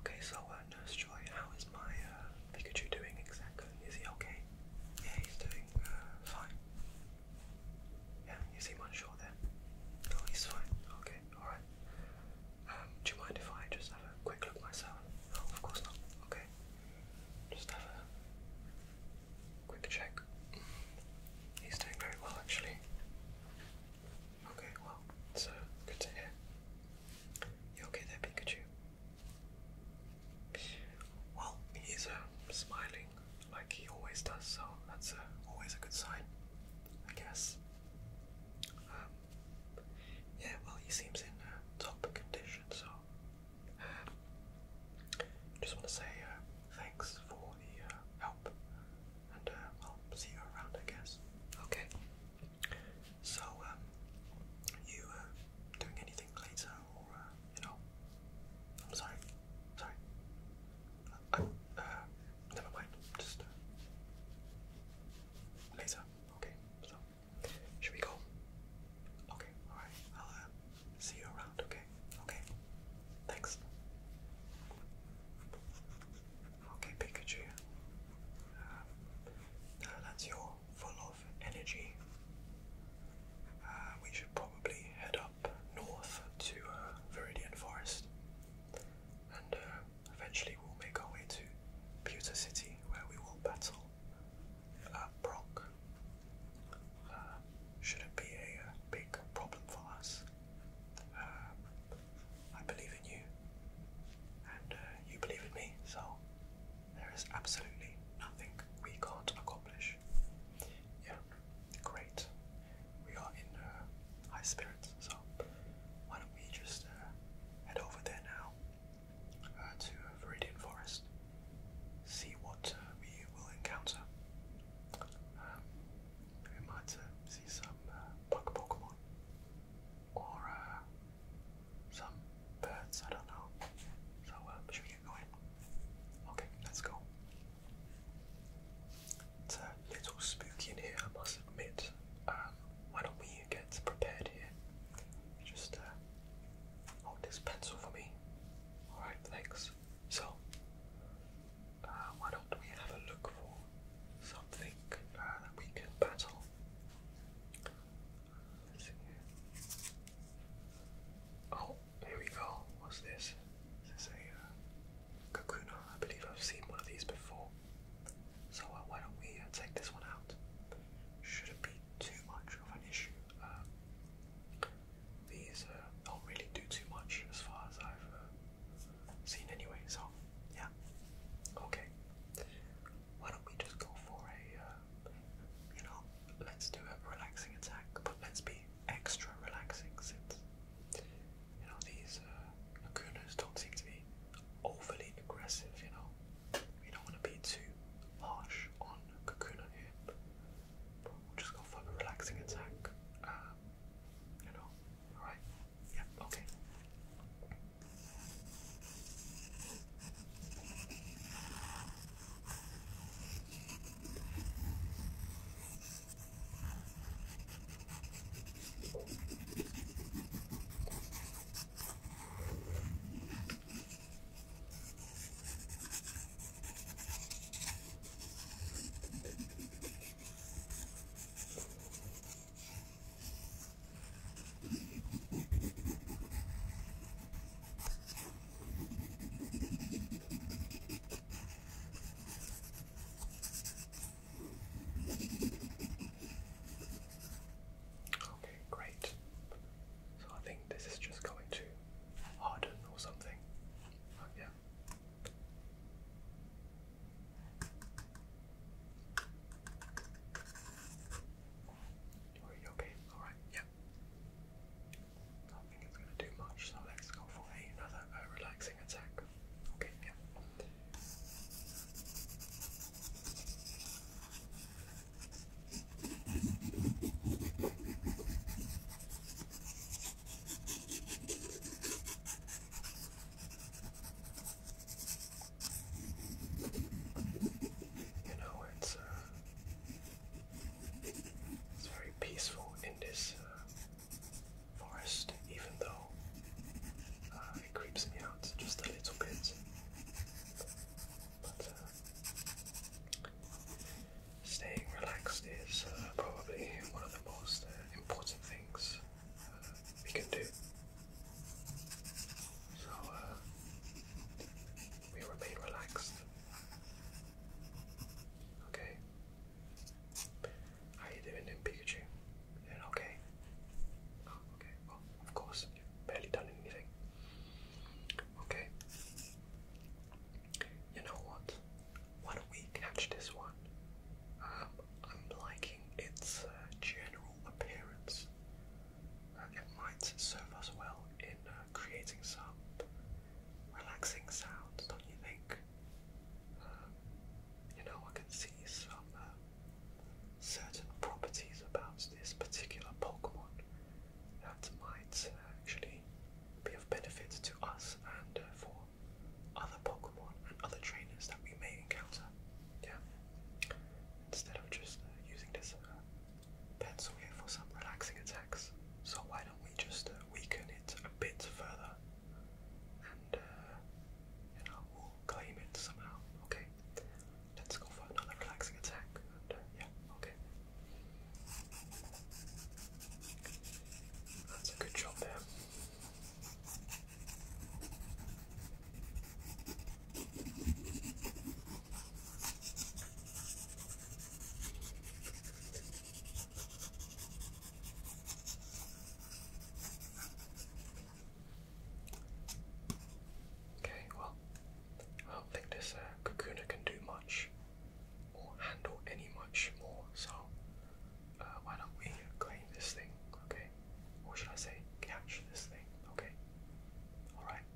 Okay, so uh, Nurse Joy, how is my uh, Pikachu doing exactly? Is he okay? Yeah, he's doing uh, fine. Yeah, you seem unsure there. No, he's fine. Okay, alright. Um, do you mind if I just have a quick look myself? of course not. Okay. Just have a quick check. He's doing very well actually. Okay, well, so good to hear. You okay there, Pikachu? Well, he's um, smiling like he always does, so that's always a good sign, I guess. Um, yeah, well, he seems in uh, top condition, so um, just want to say uh, thanks for the uh, help and uh, I'll see you around, I guess. Okay. So, um, you uh, doing anything later, or uh, you know? I'm sorry. Sorry. never mind. Just later. Okay. So, should we go? Okay. All right. I'll see you around. Okay. Okay. Thanks. Okay, Pikachu. Um, that's your full of energy. Uh, we should probably head up north to uh, Viridian Forest, and uh, eventually we'll make our way to Pewter City, where we will battle Brock. shouldn't be a, big problem for us. Um, I believe in you, and uh, you believe in me, so there is absolutely nothing we can't accomplish. Yeah, great. We are in uh, high spirits, so why don't we just uh, head over there now uh, to Viridian Forest, see what we will encounter. Um, we might uh, see some uh, Pokemon or uh, some birds, I don't know. So, uh, should we get going? Okay, let's go. It's a little spooky in here, I must admit. Um, why don't we get prepared here? Just uh, hold this pencil for me. Alright, thanks. So, uh, why don't we have a look for something uh, that we can battle? Oh, here we go. What's this? This is a uh, Kakuna. I believe I've seen one of these before. So why don't we take this one out? Shouldn't be too much of an issue. Um, these uh, don't really do too much as far as I've scene anyway, so yeah. Okay. Why don't we just go for a, uh, you know, let's do a relaxing attack, but let's be extra relaxing since, you know, these uh, lacunas don't seem to be overly aggressive, you know. We don't want to be too harsh on Kakuna here. we'll just go for a relaxing attack. Um, you know, all right. Yep. okay. Okay, great. So I think this is just going to harden or something. yeah. Are you okay? Alright, yep. I not think it's going to do much, so let's go for another uh, relaxing attack. Okay, yeah. You know, it's, uh, it's very peaceful in this uh, forest, even though uh, it creeps me out just a little bit. But, staying relaxed is uh, probably one of the most uh, important things uh, we can do. So we remain relaxed. Okay. How you doing, in Pikachu? Doing okay? Oh, okay. of course, you done anything. Okay. You know what? Why don't we catch this one? Um, I'm liking its uh, general appearance. Uh, it might serve us well in uh, creating some relaxing sounds, don't you think? Um, you know, I can see some uh, certain properties about this particular Pokemon that might actually be of benefit to us and uh, for other Pokemon and other trainers that we may encounter. Yeah. Instead of just uh, using this uh, pencil here for some relaxing attacks, so why don't we just uh, weaken it a bit further, and you know claim it somehow. Okay. Let's go for another relaxing attack. yeah. Okay. That's a good job there. Okay, well, I don't think this cocooner uh, can do much or handle any much more. So uh, why don't we claim this thing, okay? Or should I say catch this thing, okay? Alright.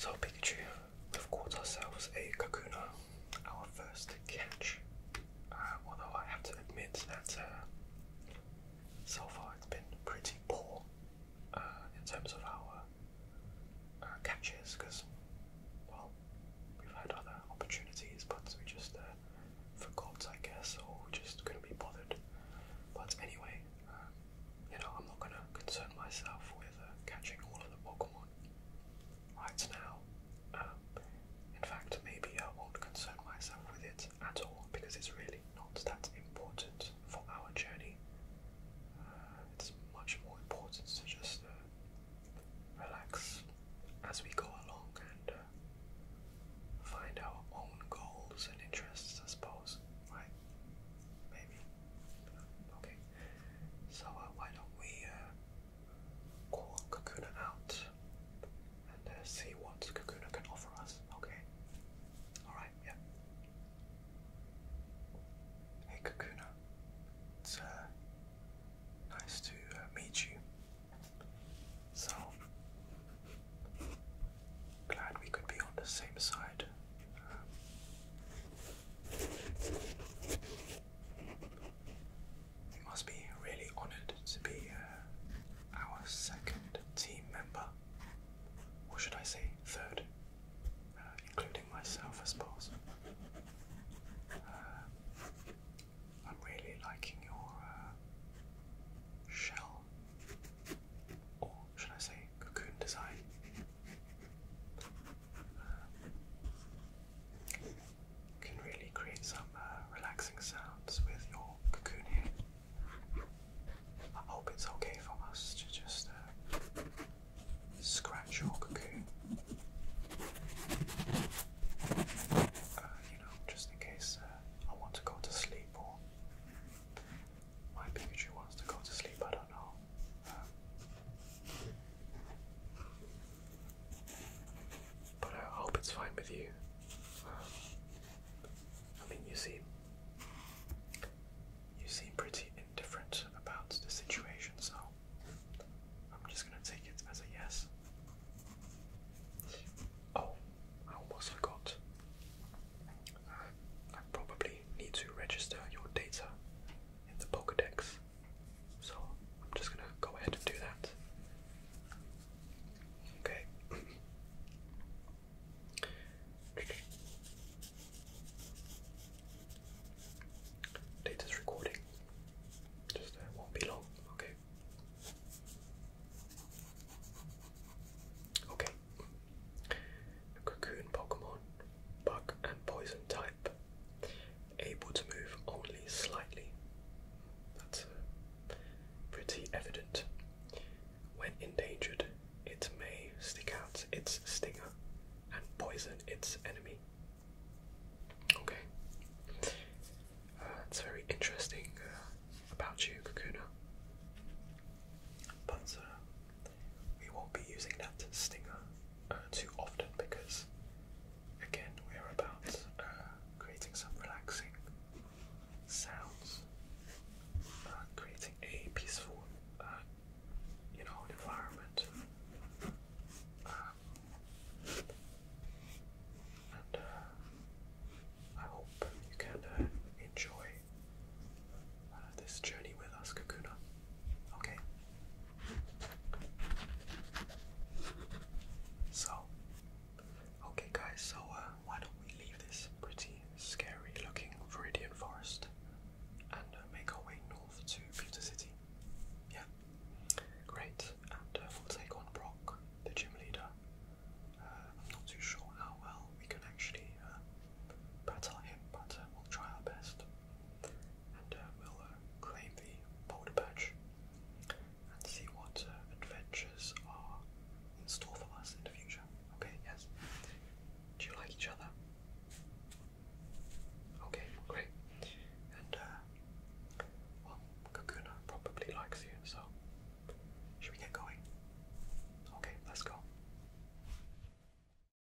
So Pikachu we've caught ourselves a kakuna, our first catch. Uh, although I have to admit that uh, so far it's been pretty poor uh, in terms of our catches, because well, we've had other opportunities, but we just forgot, I guess, or we just couldn't be bothered. But anyway, um, you know, I'm not gonna concern myself with catching all of the Pokemon right now. Um, in fact, maybe I won't concern myself with it at all because it's really not that important for our journey. Uh, it's much more important to just uh, relax as we go along and uh, find our own goals and interests, I suppose. Right? Maybe. Okay. So why don't we call Kakuna out and uh, see what Cucuna can offer us. Okay. Alright, yeah. Hey Kakuna, it's uh, nice to uh, meet you. So, glad we could be on the same side. You must be really honoured to be uh, our second team member, or should I say third, uh, including myself, I suppose. Uh, I'm really liking your shell, or should I say cocoon design can really create some uh, relaxing sounds with your cocoon here. I hope it's okay for us to just uh, scratch your cocoon. Uh, you know, just in case I want to go to sleep or my Pikachu wants to go to sleep, I don't know. But uh, I hope it's fine with you. Um, I mean, you seem you seem pretty indifferent about the situation, so I'm just gonna take it as a yes. Oh, I almost forgot. I probably need to register your data in the Pokedex. So I'm just gonna go ahead and do that. Okay. Date recording. Just uh, won't be long. Okay. Okay. cocoon Pokemon bug and poison type, able to move only slightly. That's uh, pretty evident. When endangered, it may stick out its stinger and poison its enemy. Okay, that's uh, very interesting uh, about you, Kakuna. But uh, we won't be using that stinger uh, too often because, again, we're about uh, creating some relaxing sounds, uh, creating a peaceful, you know, environment. Um, and I hope you can enjoy this journey with us, Kakuna. Okay. So, okay, guys. So uh, why don't we leave this pretty scary-looking Viridian forest and uh, make our way north to Pewter City? Yeah. Great. And uh, we'll take on Brock, the gym leader. Uh, I'm not too sure how well we can actually uh, battle him, but uh, we'll try our best and uh, we'll uh, claim the boulder badge and see what uh, adventures are in store for us in the future. Okay, yes. Do you like each other? Okay, great. And, well, Kakuna probably likes you, so should we get going? Okay, let's go.